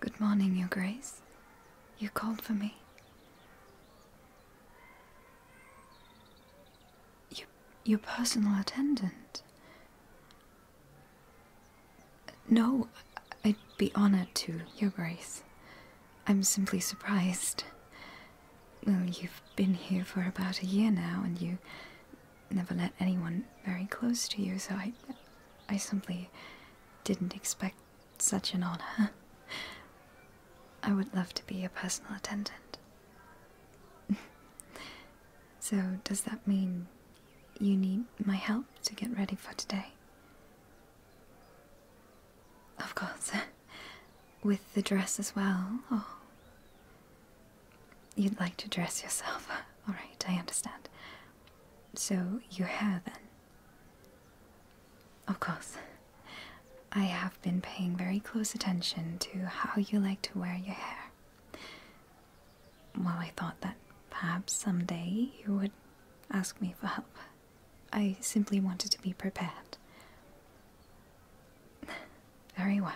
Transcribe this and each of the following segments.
Good morning, Your Grace. You called for me. your personal attendant? No, I'd be honored to, Your Grace. I'm simply surprised. Well, you've been here for about a year now, and you never let anyone very close to you, so I. I simply didn't expect such an honor. I would love to be a personal attendant. so, does that mean you need my help to get ready for today? Of course. With the dress as well, Oh, You'd like to dress yourself. Alright, I understand. So, your hair then? Of course. I have been paying very close attention to how you like to wear your hair. Well, I thought that perhaps someday you would ask me for help. I simply wanted to be prepared. Very well.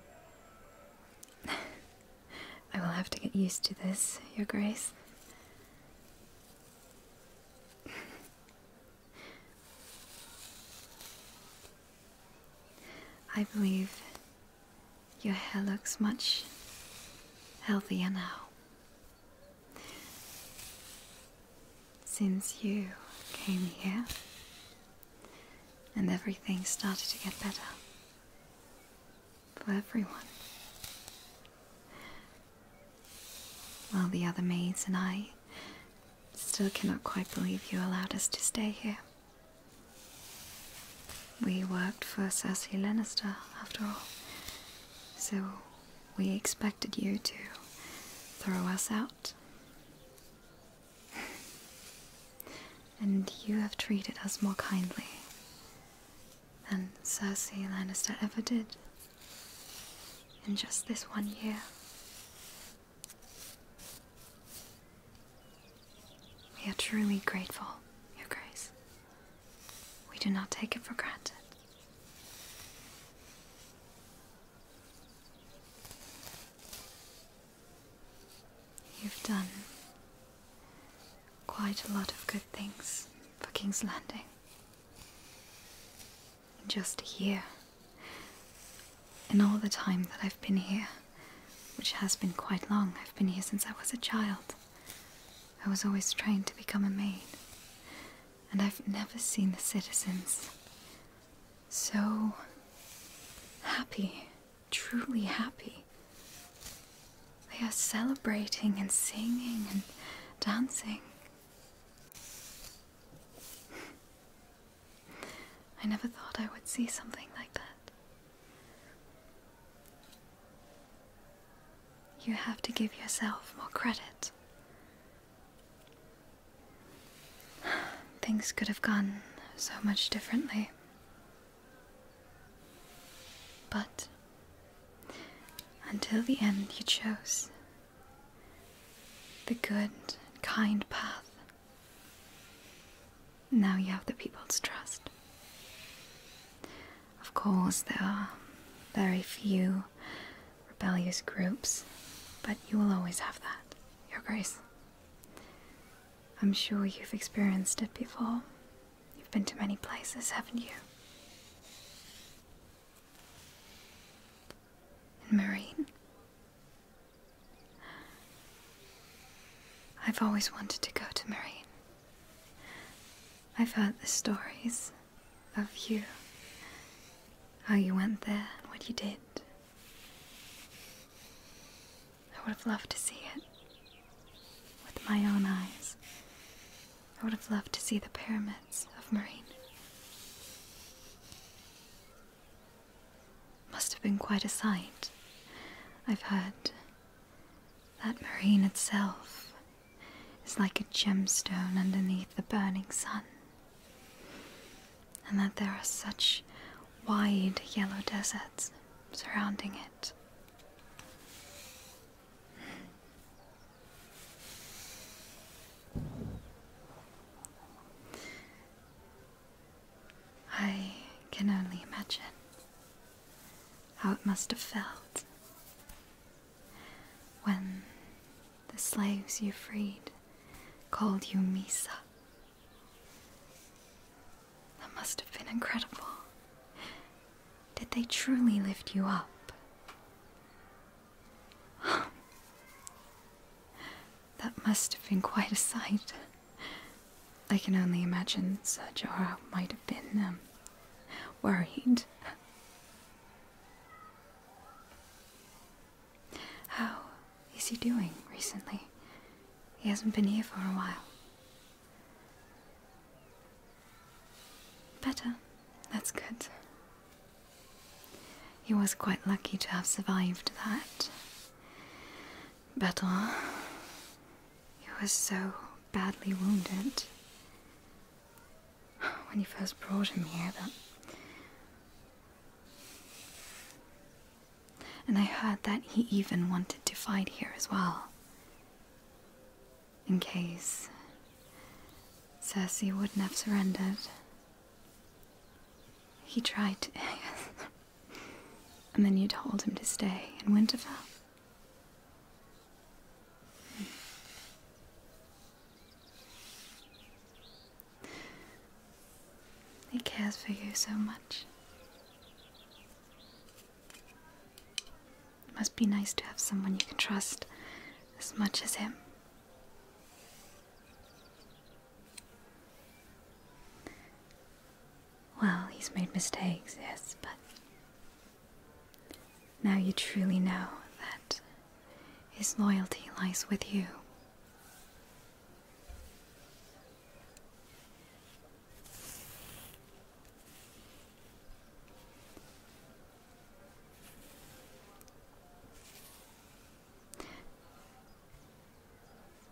I will have to get used to this, Your Grace. I believe your hair looks much healthier now. Since you came here, and everything started to get better for everyone. While the other maids and I still cannot quite believe you allowed us to stay here. We worked for Cersei Lannister, after all, so we expected you to throw us out. and you have treated us more kindly than Cersei Lannister ever did in just this one year. We are truly grateful, Your Grace. We do not take it for granted. You've done quite a lot of good things for King's Landing. In just a year, in all the time that I've been here, which has been quite long, I've been here since I was a child. I was always trying to become a maid, and I've never seen the citizens so happy, truly happy. They are celebrating and singing and dancing. I never thought I would see something like that. You have to give yourself more credit. Things could have gone so much differently. But until the end, you chose the good, kind path. Now you have the people's trust. Of course, there are very few rebellious groups, but you will always have that, Your Grace. I'm sure you've experienced it before. You've been to many places, haven't you? Marine. I've always wanted to go to Marine. I've heard the stories of you. How you went there and what you did. I would have loved to see it with my own eyes. I would have loved to see the pyramids of Marine. Must have been quite a sight. I've heard that Marine itself is like a gemstone underneath the burning sun, and that there are such wide yellow deserts surrounding it. I can only imagine how it must have felt when the slaves you freed called you Misa. That must have been incredible. Did they truly lift you up? that must have been quite a sight. I can only imagine Sir Jorah might have been um, worried. How is he doing recently? He hasn't been here for a while. Better. That's good. He was quite lucky to have survived that battle. He was so badly wounded when you first brought him here, but. And I heard that he even wanted to fight here as well. In case Circe wouldn't have surrendered. He tried to, and then you told him to stay in Winterfell. He cares for you so much. It must be nice to have someone you can trust as much as him. Well, he's made mistakes, yes, but now you truly know that his loyalty lies with you.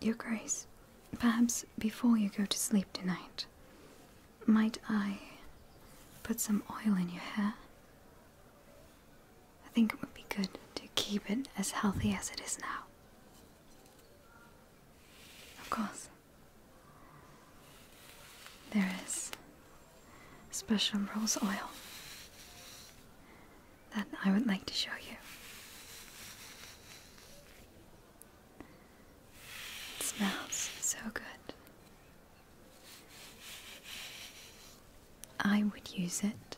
Your Grace, perhaps before you go to sleep tonight, might I put some oil in your hair? I think it would be good to keep it as healthy as it is now. Of course. There is special rose oil that I would like to show you. It smells so good. I would use it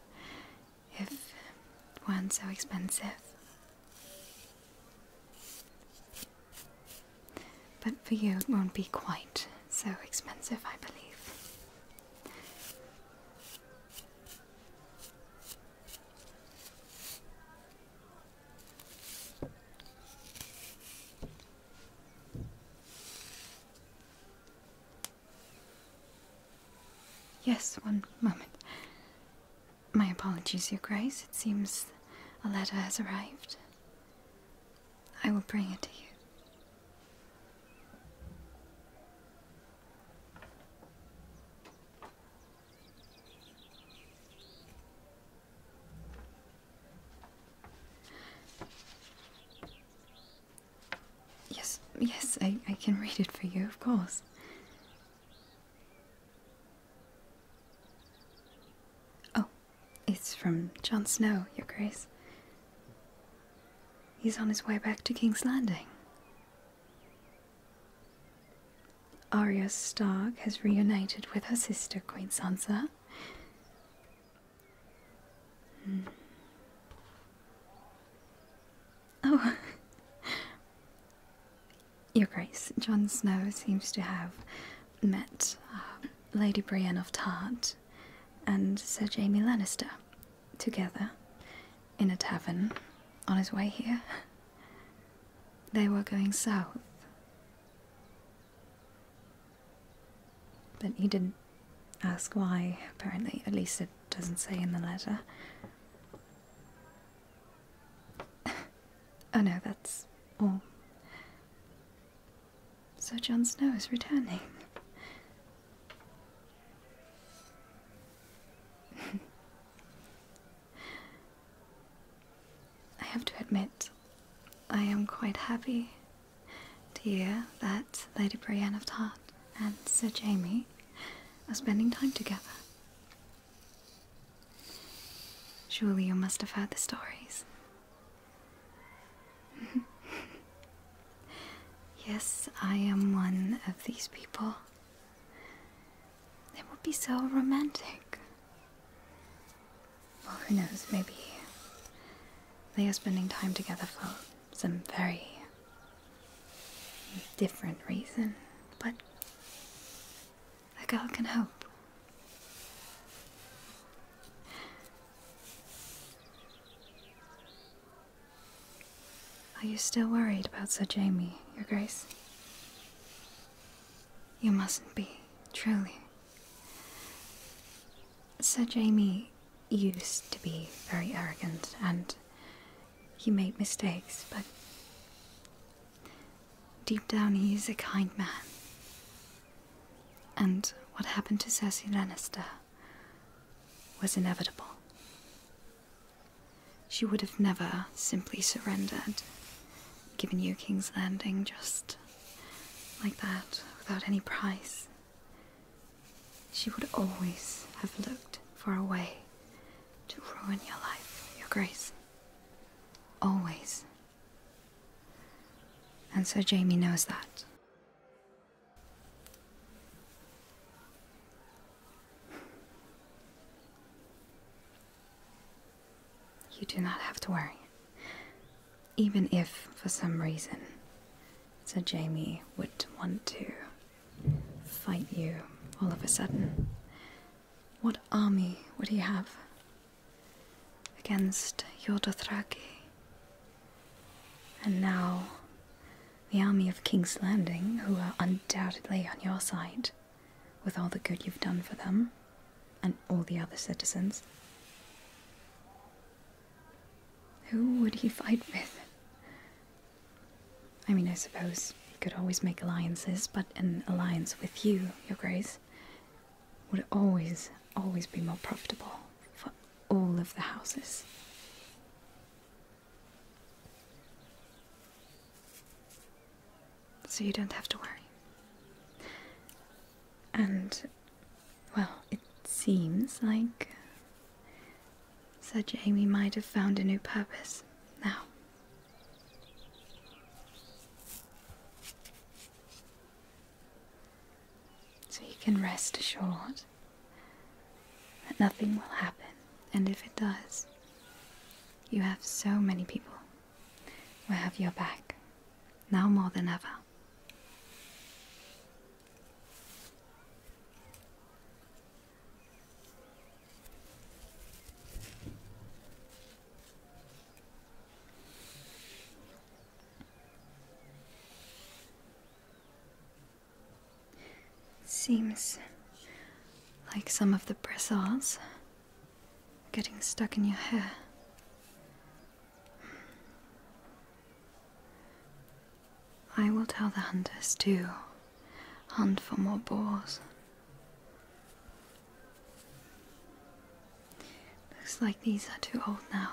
if it weren't so expensive. But for you, it won't be quite so expensive, I believe. Yes, one moment. My apologies, Your Grace. It seems a letter has arrived. I will bring it to you. Yes, yes, I, I can read it for you, of course. Oh, it's from Jon Snow, Your Grace. He's on his way back to King's Landing. Arya Stark has reunited with her sister, Queen Sansa, Hmm. Oh. Your Grace, John Snow seems to have met um, Lady Brienne of Tart and Sir Jamie Lannister together in a tavern on his way here. They were going south. But he didn't ask why, apparently. At least it doesn't say in the letter. oh no, that's all. Sir John Snow is returning. I have to admit, I am quite happy to hear that Lady Brienne of Tart and Sir Jamie are spending time together. Surely you must have heard the stories. yes, I am one of these people. It would be so romantic. Well, who knows? Maybe they are spending time together for some very different reason, but a girl can hope. Are you still worried about Sir Jamie, Your Grace? You mustn't be, truly. Sir Jamie used to be very arrogant and he made mistakes, but deep down he is a kind man. And what happened to Cersei Lannister was inevitable. She would have never simply surrendered, given you King's Landing just like that without any price. She would always have looked for a way to ruin your life, your grace. Always. And so Jamie knows that. You do not have to worry. Even if, for some reason, Sir Jamie would want to fight you all of a sudden, what army would he have against your Dothraki? And now, the army of King's Landing, who are undoubtedly on your side, with all the good you've done for them, and all the other citizens. Who would he fight with? I mean, I suppose he could always make alliances, but an alliance with you, Your Grace, would always, always be more profitable for all of the houses so you don't have to worry. And, well, it seems like uh, Sir Jamie might have found a new purpose now. So you can rest assured that nothing will happen, and if it does, you have so many people who have your back now more than ever. Seems like some of the bristles getting stuck in your hair. I will tell the hunters to hunt for more boars. Looks like these are too old now.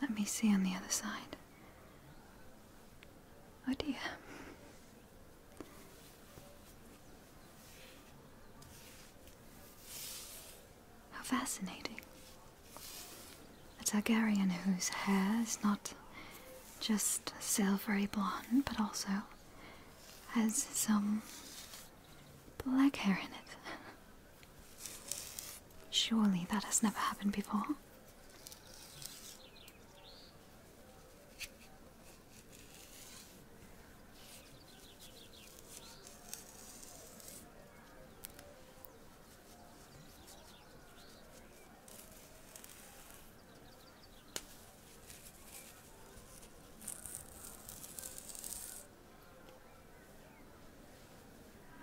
Let me see on the other side. Oh dear. How fascinating. A Targaryen whose hair is not just silvery blonde, but also has some black hair in it. Surely that has never happened before.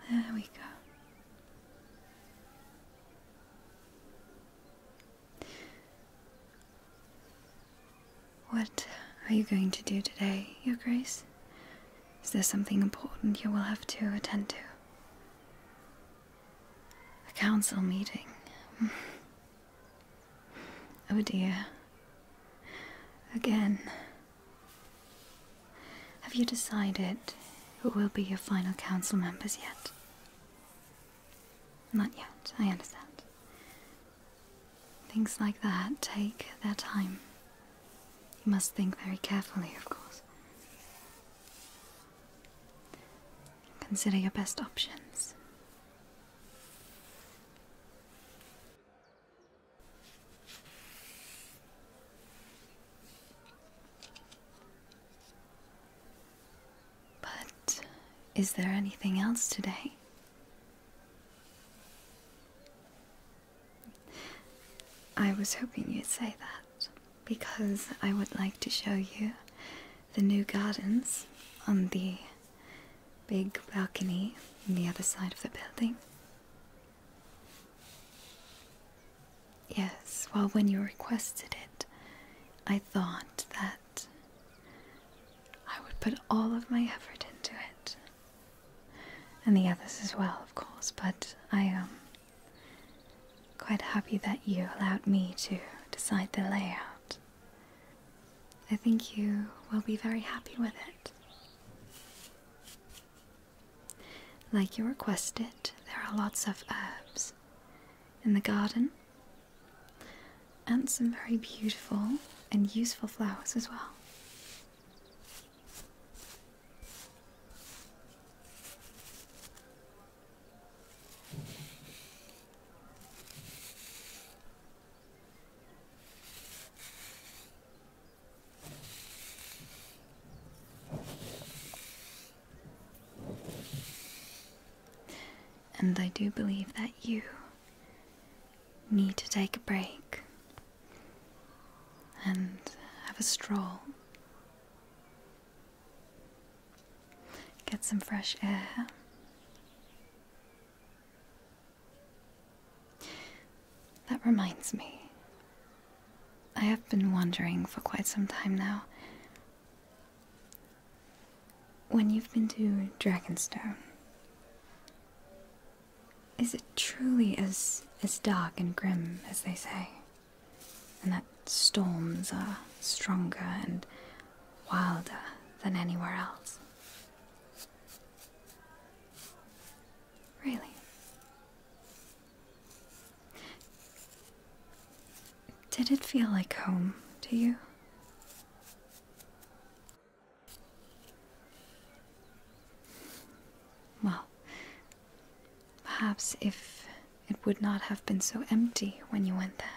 There we go. What are you going to do today, Your Grace? Is there something important you will have to attend to? A council meeting. oh dear. Again. Have you decided who will be your final council members yet? Not yet, I understand. Things like that take their time. You must think very carefully, of course. Consider your best options. But is there anything else today? I was hoping you'd say that because I would like to show you the new gardens on the big balcony on the other side of the building. Yes, well, when you requested it, I thought that I would put all of my effort into it. And the others as well, of course, but I am um, quite happy that you allowed me to decide the layout. I think you will be very happy with it. Like you requested, there are lots of herbs in the garden and some very beautiful and useful flowers as well. And I do believe that you need to take a break and have a stroll. Get some fresh air. That reminds me. I have been wondering for quite some time now. When you've been to Dragonstone, is it truly as as dark and grim as they say? And that storms are stronger and wilder than anywhere else? Really? Did it feel like home to you? Well, perhaps if it would not have been so empty when you went there,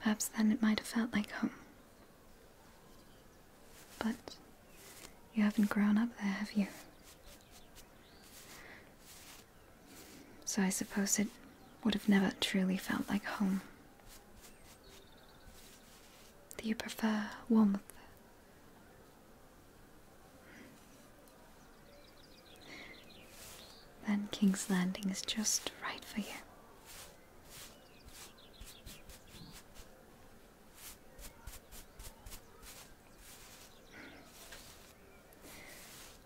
perhaps then it might have felt like home. But you haven't grown up there, have you? So I suppose it would have never truly felt like home. Do you prefer warmth? Then King's Landing is just right for you.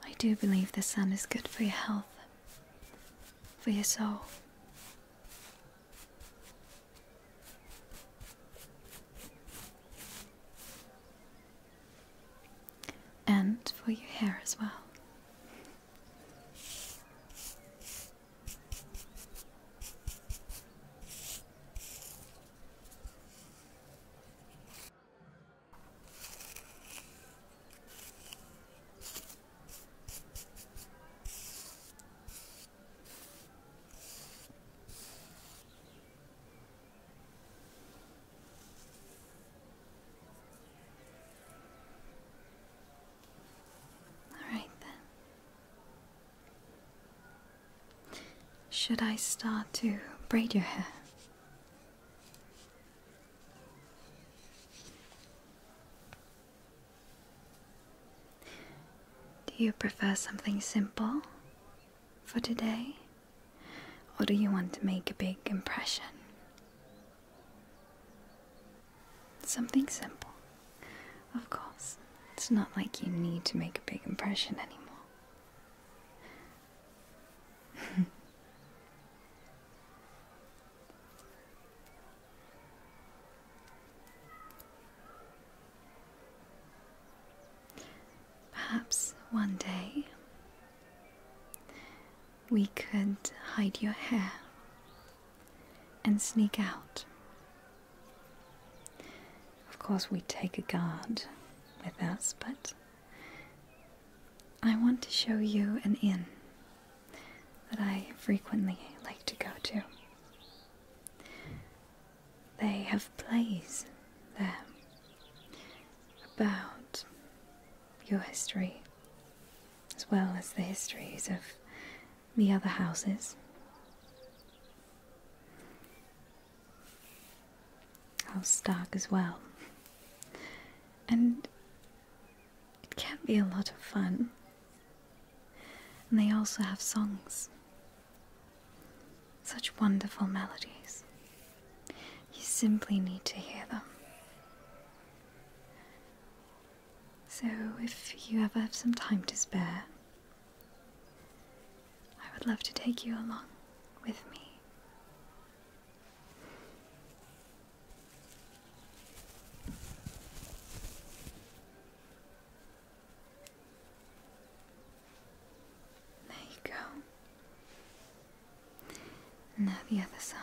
I do believe the sun is good for your health, for your soul. And for your hair as well. All right then. Should I start to braid your hair? Do you prefer something simple for today? Or do you want to make a big impression? Something simple. Of course, it's not like you need to make a big impression anymore. Perhaps one day we could hide your hair and sneak out. Of course, we take a guard with us, but I want to show you an inn that I frequently like to go to. They have plays there about your history, as well as the histories of the other houses. House Stark as well. And it can be a lot of fun. And they also have songs. Such wonderful melodies. You simply need to hear them. So, if you ever have some time to spare, I would love to take you along with me. There you go. Now the other side.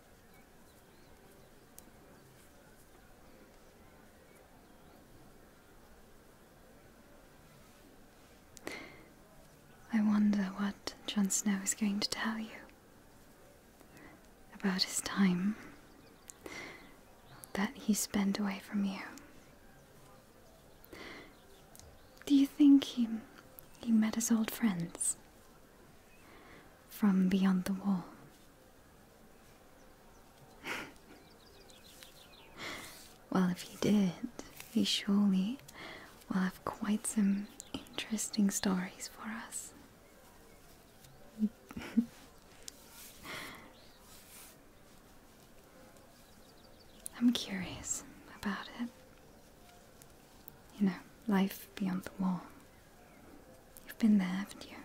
I wonder what Jon Snow is going to tell you about his time that he spent away from you. Do you think he, he met his old friends? from beyond the wall. well, if he did, he surely will have quite some interesting stories for us. I'm curious about it. You know, life beyond the wall. You've been there, haven't you?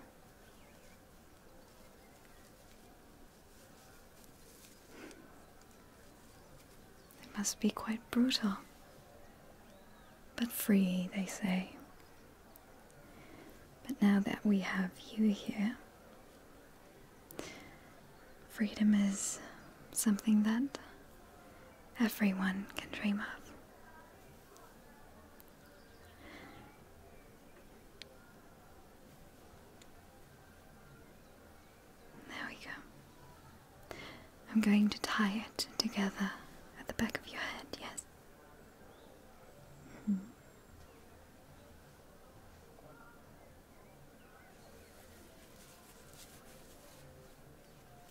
It must be quite brutal. But free, they say. But now that we have you here, freedom is something that everyone can dream of. There we go. I'm going to tie it together at the back of your head, yes? Mm-hmm.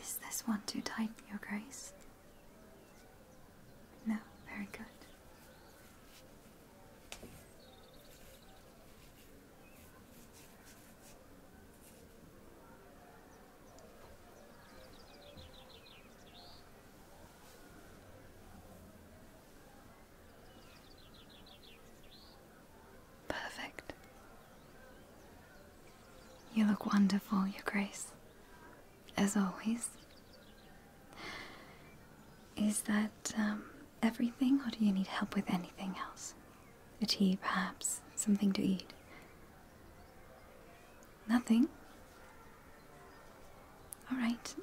Is this one too tight, Your Grace? No, very good. Perfect. You look wonderful, Your Grace, as always. Is that um, everything, or do you need help with anything else? A tea, perhaps? Something to eat? Nothing? Alright.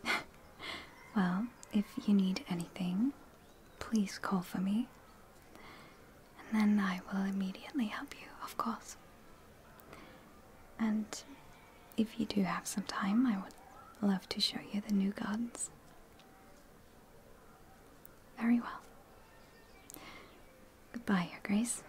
well, if you need anything, please call for me. And then I will immediately help you, of course. And if you do have some time, I would love to show you the new gardens. Very well. Goodbye, Your Grace.